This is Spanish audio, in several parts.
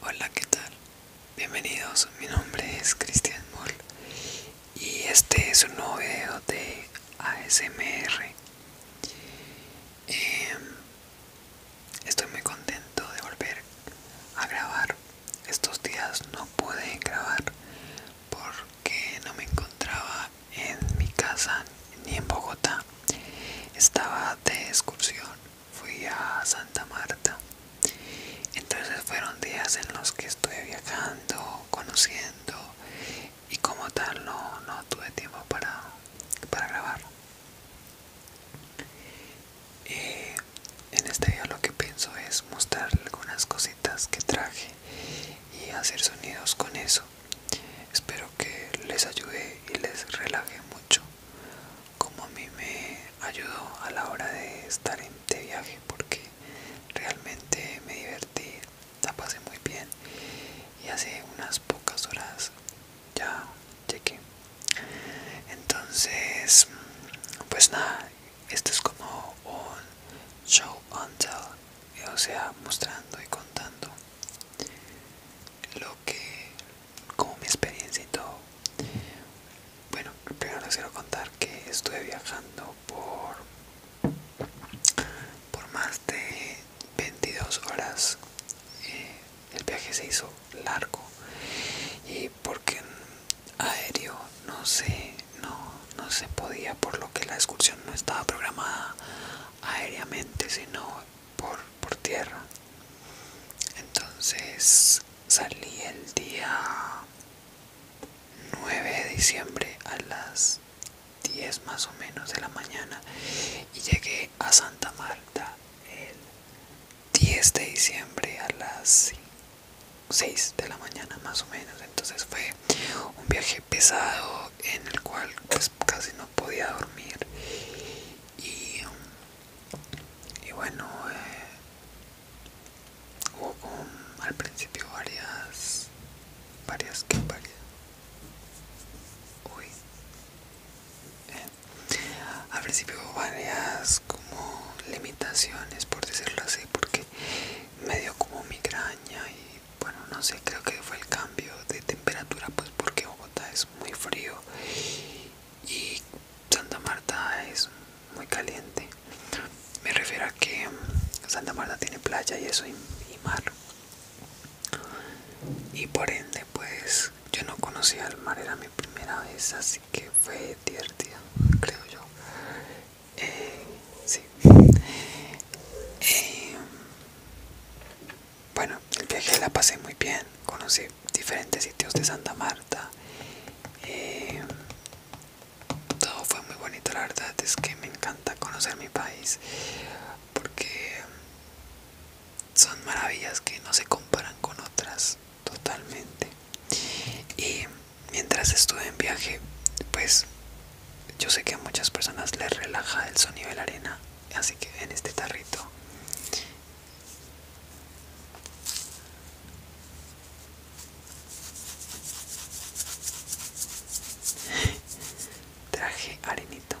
Hola, ¿qué tal? Bienvenidos, mi nombre es Cristian Moll y este es un nuevo video de ASMR. Em, estoy muy contento de volver a grabar. Estos días no pude grabar porque no me encontraba en mi casa ni en Bogotá. Estaba de excursión fui a Santa Marta. Entonces fueron días en los que estuve viajando, conociendo y como tal no, tuve tiempo para, para grabar. Eh, en este día lo que pienso es mostrar algunas cositas que traje y hacer sonidos con eso. Espero que les ayude y les relaje mucho como a mí me ayudó a la hora de estar en, de viaje porque realmente me divertí, la pasé muy bien y hace unas pocas horas ya cheque Entonces, pues nada, esto es como un show until, o sea, mostrando y contando lo que como mi experiencia y todo bueno primero les quiero contar que estuve viajando por por más de 22 horas eh, el viaje se hizo largo y porque aéreo no se no, no se podía por lo que la excursión no estaba programada aéreamente sino por, por tierra. Entonces salí el día 9 de diciembre a las 10 más o menos de la mañana y llegué a Santa Marta el 10 de diciembre a las 6 de la mañana más o menos entonces fue un viaje pesado en el cual pues casi no podía dormir y um, y bueno eh, hubo al principio varias varias que uy eh, al principio varias como limitaciones por decirlo así porque me dio como migraña y bueno no sé creo que fue el cambio de temperatura pues porque Bogotá es muy frío y Santa Marta es muy caliente. Me refiero a que mm, Santa Marta tiene playa y eso y, mar. Y por ende, pues yo no conocía el mar, era mi primera vez, así que fue divertido, creo yo. Eh, sí. Eh, bueno, el viaje la pasé muy bien, conocí diferentes sitios de Santa Marta. Eh, todo fue muy bonito, la verdad es que me encanta conocer mi país porque son maravillas que no se comparan con otras totalmente. Y mientras estuve en viaje, pues yo sé que a muchas personas les relaja el sonido de la arena, así que en este tarrito Traje arenito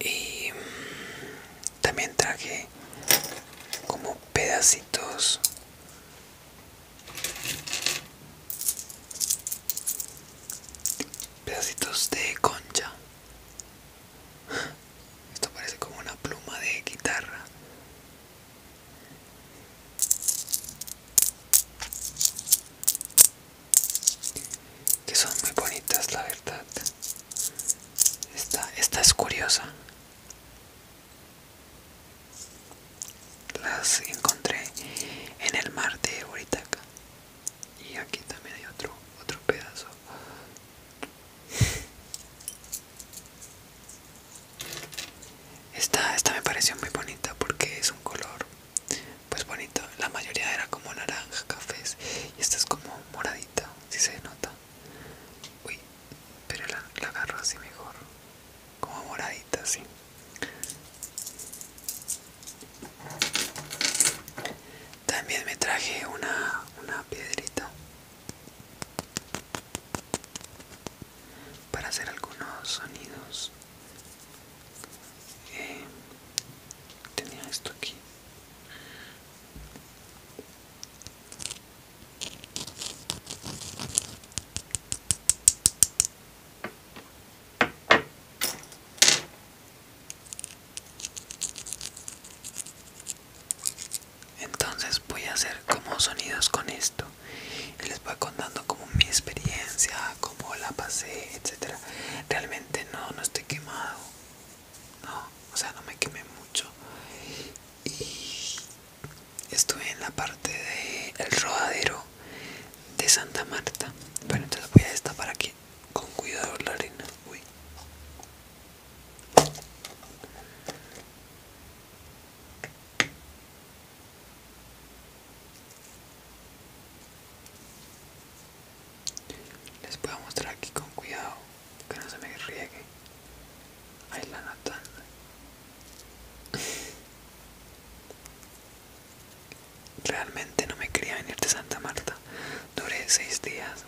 y mm, también traje como pedacitos pedacitos de concha esto parece como una pluma de guitarra. Que son muy bonitas, la verdad. Esta, es curiosa. Las encontré en el mar de Oritaca. Y aquí también hay otro, otro pedazo esta, me pareció muy bonita porque es un color pues bonito. La mayoría era como naranja, cafés y esta es como moradita, si se nota. Uy, pero la, la agarro así mejor. Como moradita, así. También me traje una, una piedrita para hacer algunos sonidos eh, tenía esto aquí entonces voy a hacer como sonidos con esto y les voy contando como mi experiencia, como la pasé, etcétera. Realmente no, no estoy quemado, no, o sea, no me quemé mucho. Y estuve en la parte del rodadero de Santa Marta. Bueno, entonces voy a esta para con cuidado la arena. Uy. Les puedo mostrar aquí con cuidado que no se me riegue. Ahí la nota. Realmente no me quería venir de Santa Marta. Duré seis días.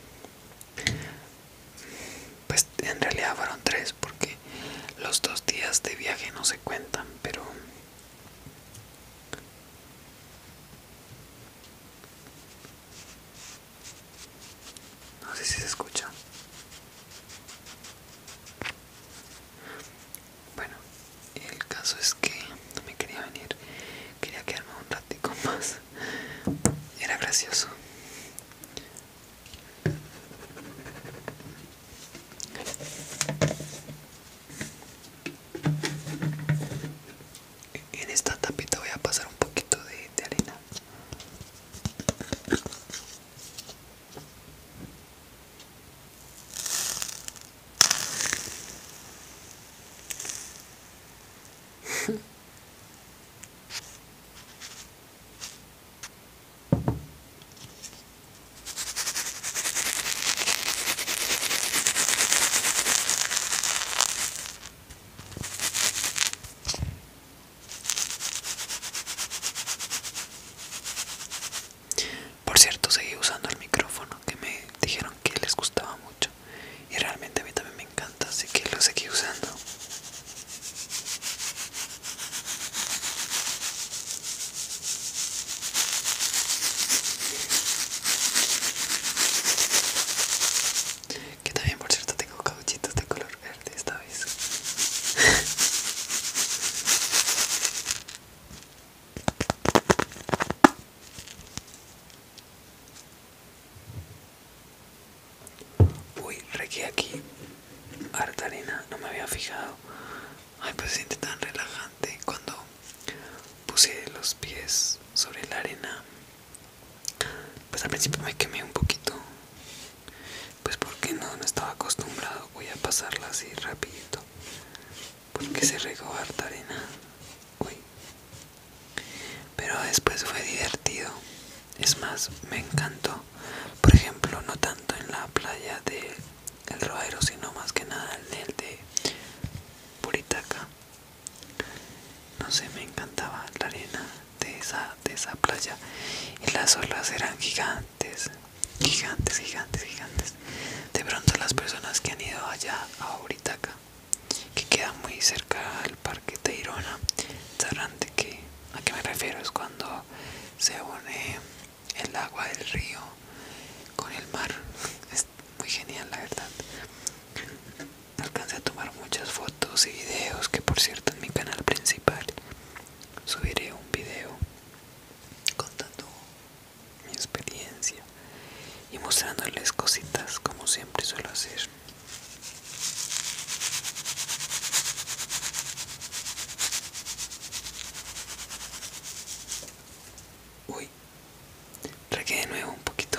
Pues en realidad fueron tres porque los dos días de viaje no se cuentan, pero... No sé si se escucha. Bueno, el caso es que no me quería venir, quería quedarme un ratico más. Era gracioso. En esta tapita voy a pasar un poquito de, de arena. Por cierto, seguí usando el micrófono que me dijeron que les gustaba mucho y realmente a mí también me encanta, así que lo seguí usando. Que también, por cierto, tengo cauchitos de color verde esta vez. Uy, regué aquí harta arena, no me había fijado. Ay, pues se siente tan relajante cuando puse los pies sobre la arena. Pues al principio me quemé un poquito. Pues porque no, no estaba acostumbrado. Voy a pasarla así rapidito. Porque se regó harta arena. Uy, pero después fue divertido. Es más, me encantó. Por ejemplo, no tanto en la playa de El Rodero, sino más que nada en el de Puritaca. No sé, me encantaba la arena de esa, esa playa. Y las olas eran gigantes, gigantes, gigantes, gigantes. De pronto las personas que han ido allá a Buritaca que queda muy cerca parque Teirona, sabrán de qué a qué me refiero es cuando se une el agua del río con el mar es muy genial la verdad alcancé a tomar muchas fotos y videos que por cierto en mi canal principal subiré un video contando mi experiencia y mostrándoles cositas como siempre suelo hacer Uy, traqué de nuevo un poquito.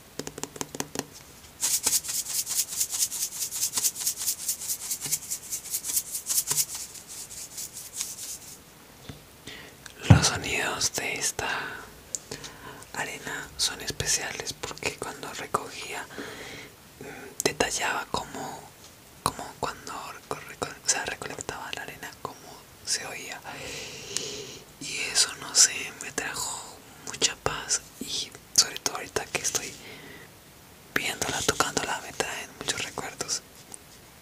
Los sonidos de esta arena son especiales porque cuando recogía mm, detallaba como, cuando recolectaba la arena como se oía y eso no sé me trajo mucha paz y sobre todo ahorita que estoy viéndola tocándola me traen muchos recuerdos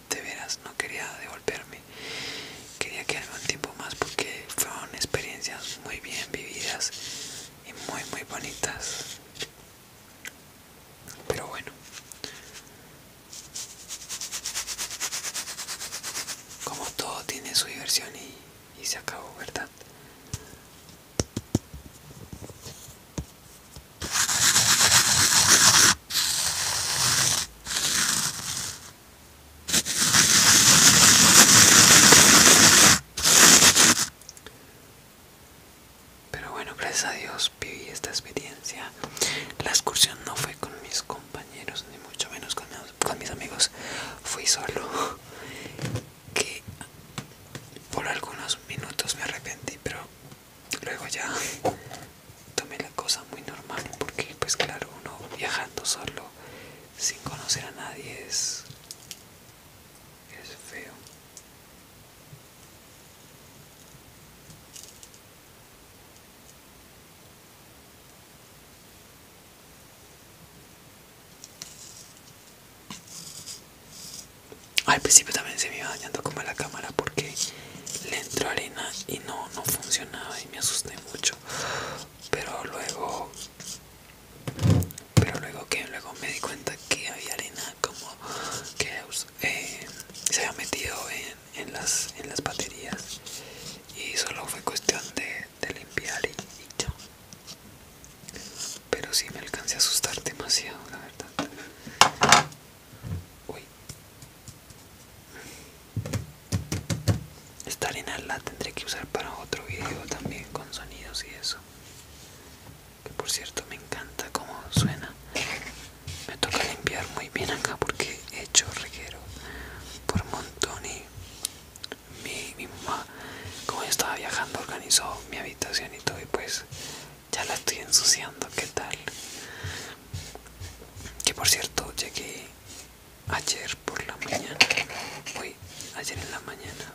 de veras no quería devolverme quería quedarme un tiempo más porque fueron experiencias muy bien vividas y muy muy bonitas pero bueno como todo tiene su diversión y, se acabó, ¿verdad? Pero bueno, gracias a Dios viví esta experiencia. La excursión no fue con mis compañeros ni mucho menos con, con mis amigos. Fui solo. Que por algunos minutos me arrepentí, pero luego ya tomé la cosa muy normal porque pues claro uno viajando solo sin conocer a nadie es es feo al principio también se me iba dañando como la cámara porque le entró arena y no, funcionaba y me asusté mucho. Pero luego, pero luego que luego me di cuenta que había arena como que pues, eh, se había metido en, en, las, en las baterías y solo fue cuestión de de limpiar y, ya. Pero si me alcancé a asustar demasiado, la verdad. Uy. Esta arena la tendré que usar para otro video también con sonidos y eso. Que por cierto me encanta cómo suena. Me toca limpiar muy bien acá porque he hecho reguero por montón y mi, mamá, como yo estaba viajando, organizó mi habitación y todo, y pues ya la estoy ensuciando. ¿Qué tal? Que por cierto, llegué ayer por la mañana, hoy, ayer en la mañana.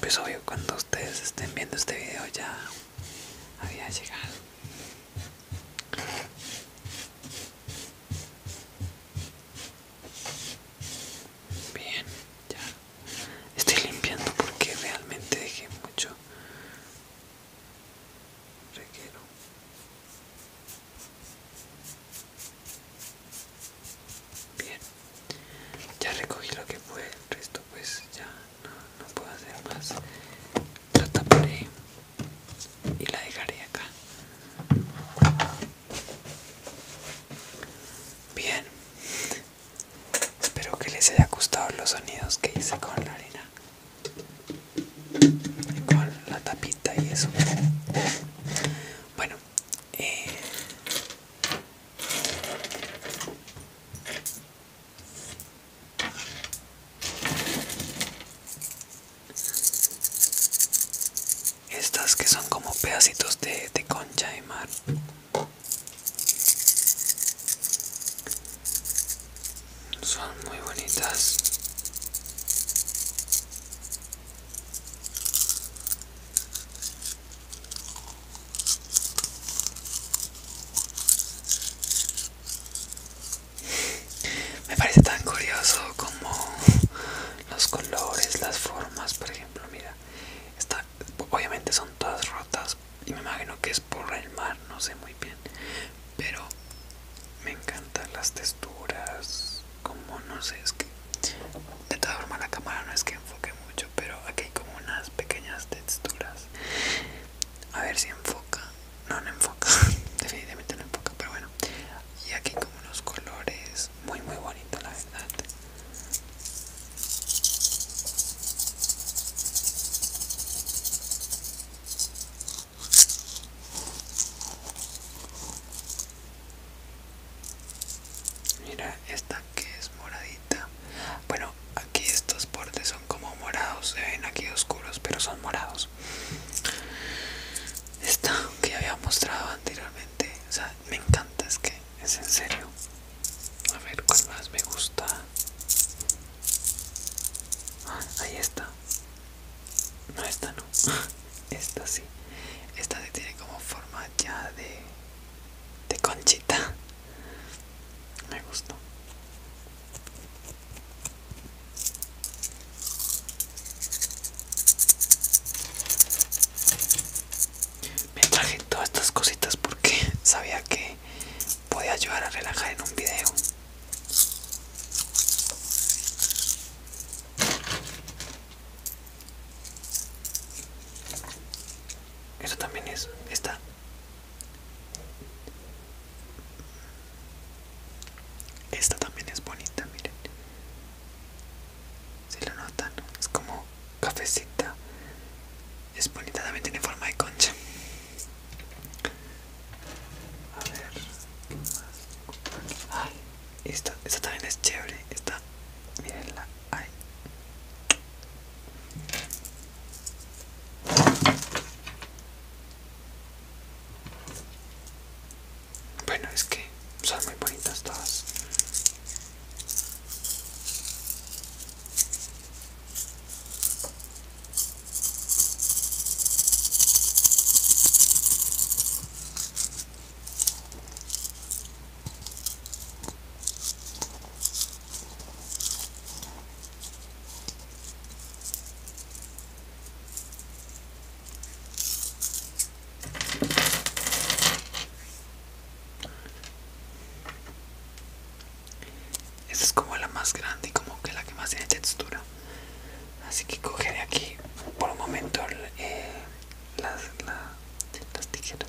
Pues obvio, cuando ustedes estén viendo este video ya había llegado. Bien, ya estoy limpiando porque realmente dejé mucho requiero Bien, ya recogí lo que fue el resto pues ya no, puedo hacer más. por ahí y la dejaré acá bien espero que les haya gustado los sonidos que hice con la arena con la tapita y eso bueno eh, estas que son como pedacitos de, concha de mar. Son muy bonitas. Me parece tan curioso como los colores, las formas, por ejemplo, mira, obviamente son todas rotas y me imagino que es por el mar, no sé muy bien, pero me encantan las texturas, como no sé, es que de todas formas la cámara no es que enfoque mucho, pero aquí hay como unas pequeñas texturas. A ver si enfoca no, no enfoca, definitivamente no enfoca, pero bueno. Y aquí como unos colores muy muy bonitos, la verdad. Mira esta que es moradita. Bueno, aquí estos bordes son como morados, se ven aquí oscuros, pero son morados esta que había mostrado anteriormente o sea me encanta es que es en serio a ver cuál más me gusta ah, ahí está no esta no esta sí esta se tiene como forma ya de de conchita me gustó me traje todas estas cositas porque sabía que podía ayudar a relajar en un video. Eso también es, esta esta también es bonita, miren. Si lo notan, es como cafecita. Es bonita, también tiene forma de concha. A ver, Ay, esta, esta también es chévere. Esta, mirenla. Ay. Bueno, es que son muy bonitas todas. Esta es como la más grande y como que la que más tiene textura. Así que cogeré aquí por un momento eh, las, las tijeras.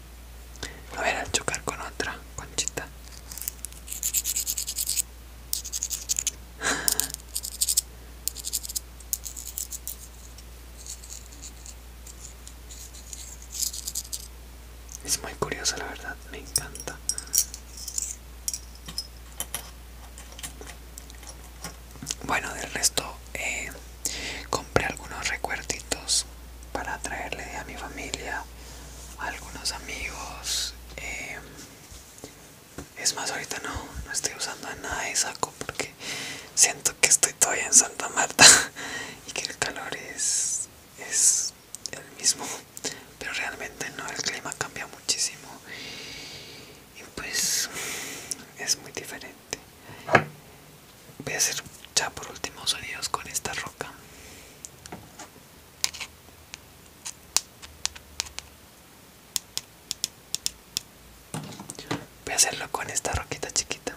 A ver, a chocar con otra conchita. Es muy curioso, la verdad, me encanta. Bueno, del resto, eh, Compré algunos recuerditos para traerle a mi familia, a algunos amigos. Em, es más, ahorita no, no estoy usando nada de saco porque siento que estoy todavía en Santa Marta y que el calor es, es el mismo, pero realmente no, el clima cambia muchísimo y pues es muy diferente voy a hacer ya por último sonidos con esta roca voy a hacerlo con esta roquita chiquita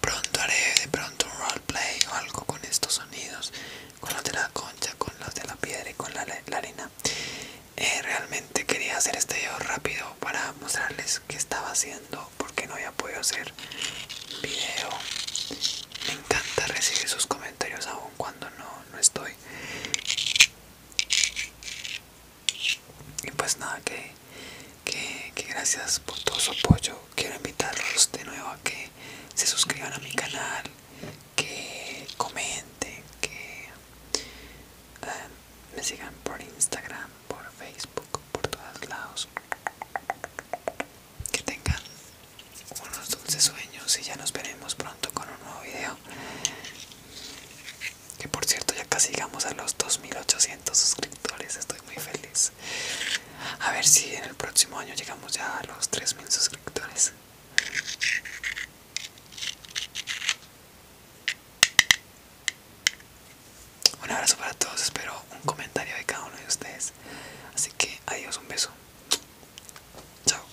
Pronto haré de pronto un roleplay o algo con estos sonidos, con los de la concha, con los de la piedra y con la, la arena. Eh, realmente quería hacer este video rápido para mostrarles qué estaba haciendo porque no había podido hacer video. Me encanta recibir sus comentarios aun cuando no, no estoy. Y pues nada, que, que, gracias por todo su apoyo. Quiero invitarlos de nuevo a que se suscriban a mi canal, que comenten, que eh, me sigan por Instagram, por Facebook, por todos lados. Que tengan unos dulces sueños y ya nos veremos pronto con un nuevo video. Que por cierto ya casi llegamos a los 2800 suscriptores, estoy muy feliz. A ver si en el próximo año llegamos ya a los 3000 suscriptores. Un abrazo para todos, espero un comentario de cada uno de ustedes. Así que adiós, un beso. Chao.